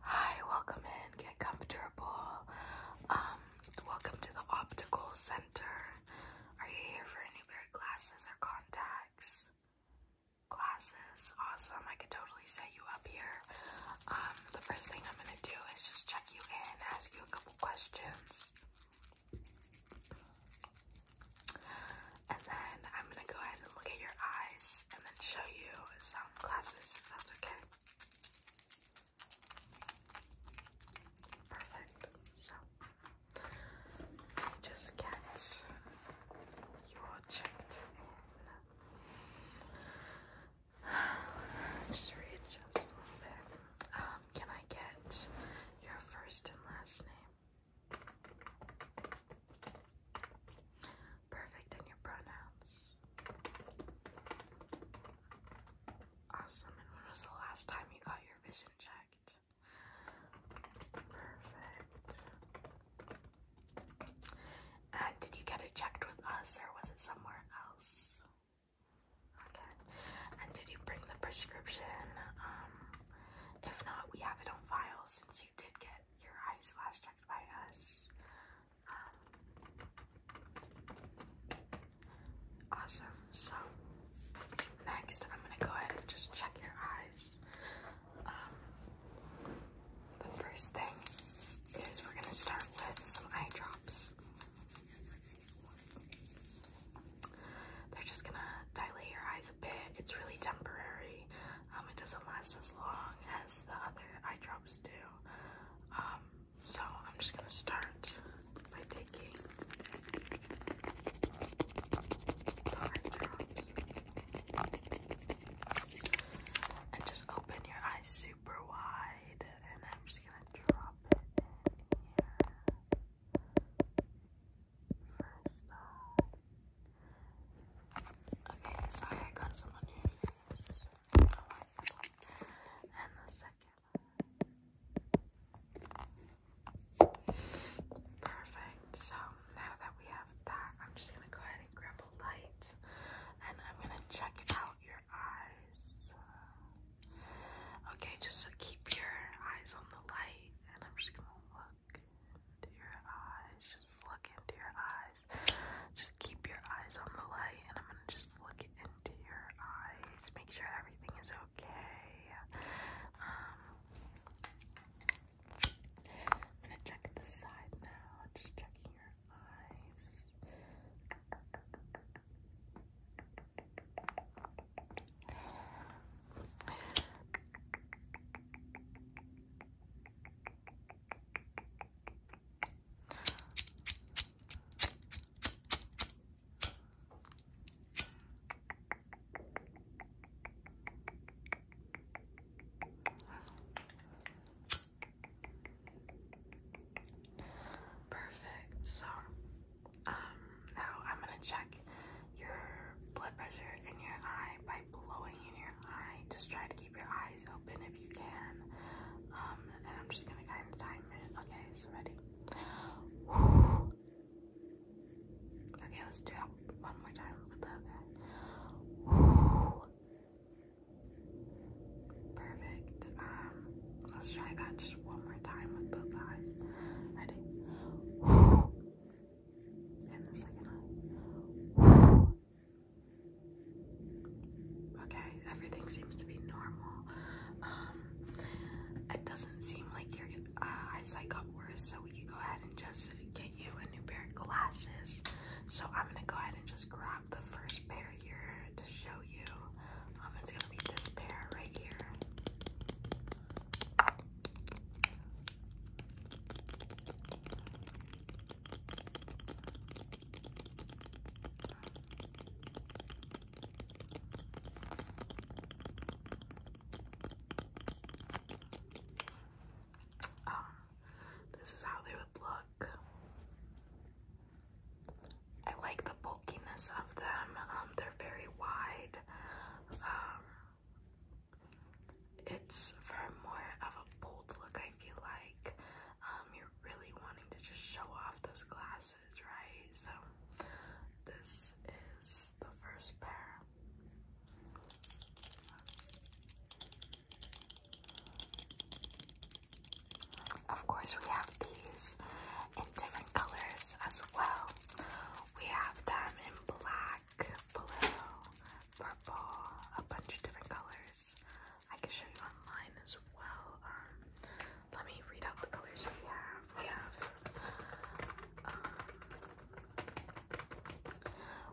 Hi, welcome in. Get comfortable. Um, welcome to the optical center. Are you here for any weird glasses or contacts? Glasses, awesome. I could totally set you up here. Um, the first thing I'm gonna do is just check you in, ask you a couple questions. And then I'm gonna go ahead and look at your eyes and then show you some classes if that's okay. Perfect. So just get you all checked in. Just readjust a little bit. Um, can I get your first and last name? Perfect in your pronouns. Awesome. And when was the last time you got your vision checked? Perfect. And did you get it checked with us or was it somewhere else? Okay. And did you bring the prescription? Um, if not, we have it on file since did get your eyes last checked by us. Um, awesome. So next, I'm gonna go ahead and just check your eyes. Um, the first thing is we're gonna start with some eye drops. They're just gonna dilate your eyes a bit. It's really temporary it doesn't last as long as the other eye drops do. Um, so I'm just gonna start by taking the eye drops and just open your eyes super wide, and I'm just gonna drop it in here. Okay, sorry I got some on your face. And the second. Perfect. So now that we have that, I'm just gonna go ahead and grab a light and I'm gonna check out your eyes. Okay, just so keep your eyes on the light and I'm just gonna look look into your eyes. Just look into your eyes. Just keep your eyes on the light, and I'm gonna just look into your eyes. Make sure everything is okay. Um, I'm gonna check the side now. Just checking your eyes. Perfect. So, um, now I'm gonna check your blood pressure in your eye by blowing in your eye. Just try to keep your eyes open if you can. Um, and I'm just gonna kind of time it. Okay, so ready? Okay, let's do it one more time with the Perfect. Um, let's try that just one more time with both eyes. Ready? Okay, everything seems to be normal. Um, it doesn't seem like your uh, eyesight got worse, so we can go ahead and just get you a new pair of glasses. So I'm gonna go ahead and just grab the first pair here to show you. Um, it's gonna be this pair right here. Um, this is how they would look. I like the bulkiness of them. Um, they're very wide. Um, it's for more of a bold look, I feel like. Um, you're really wanting to just show off those glasses, right? So, this is the first pair. Of course, we have these in different colors as well. We have them in black, blue, purple, a bunch of different colors. I can show you online as well. Um, let me read out the colors we have. We have um,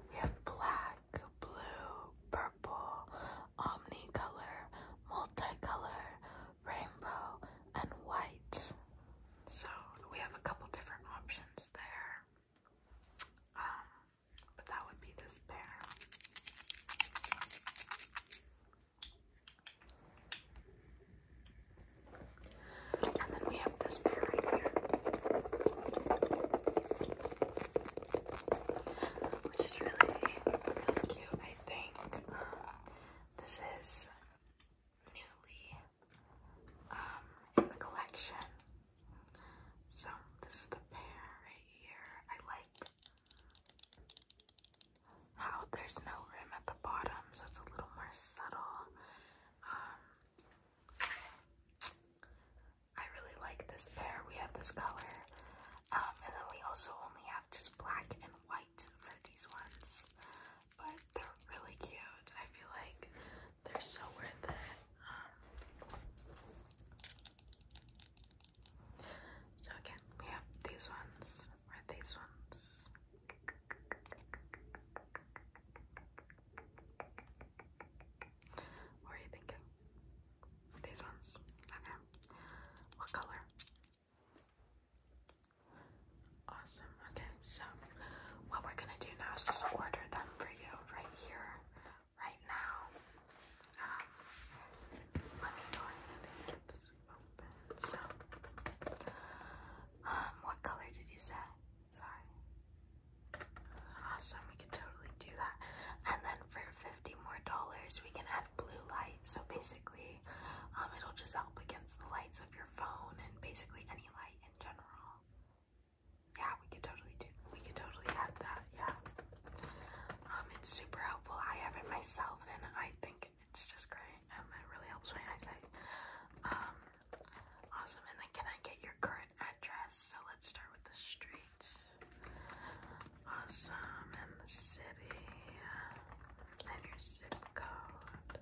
we have black, blue, purple, omnicolor, multicolor, rainbow, and white. So we have a couple different options there. Um, but that would be this pair. And then we have this pair right here, which is really, really cute, I think. Um, this is newly um, in the collection. So this is the pair right here. I like how there's no rim at the bottom, so it's a little more subtle. Um, I really like this pair. We have this color um, and then we also only have just black and white for these ones. But they're really cute. I feel like they're so worth it. Um, so again, we have these ones or these ones. What are you thinking? These ones. Okay. What color? Awesome. Okay, so what we're gonna do now is just order them for you right here, right now. Um, let me go ahead and get this open. So, um, what color did you say? Sorry. Awesome. We could totally do that. And then for fifty more dollars, we can add blue light. So basically, um, it'll just help against the lights of your phone and basically any light in general. Yeah, we could totally do. We could totally add that. Yeah. Um, it's super helpful. I have it myself, and I think it's just great. Um, it really helps my eyesight. Um, awesome. And then, can I get your current address? So let's start with the street awesome, and the city, and your zip code.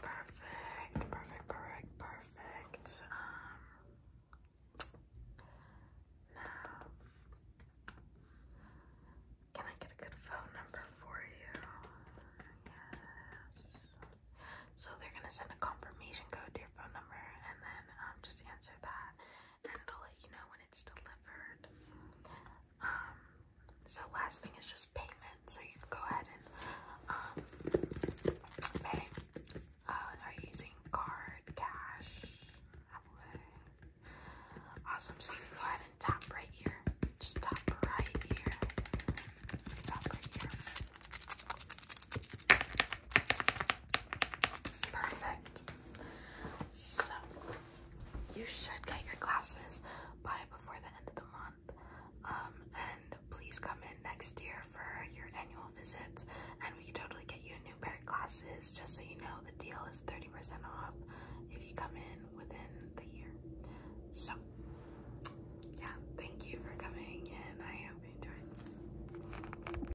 Perfect, perfect, perfect, perfect. Um, now, can I get a good phone number for you? Yes. So they're gonna send a confirmation code to your phone number, and then um, just answer that and it'll let you know when it's delivered. Um, so last thing is just payment. So you go ahead and um, pay. Uh, are using card, cash? Awesome. So you go ahead and tap right here. Just tap right here. Tap right here. Perfect. So, you should get your glasses by before the end of the month. Um, and please come in next year for your annual visit, and we can totally get you a new pair of glasses. Just so you know, the deal is 30% off if you come in within the year. So, yeah, thank you for coming, and I hope you enjoy.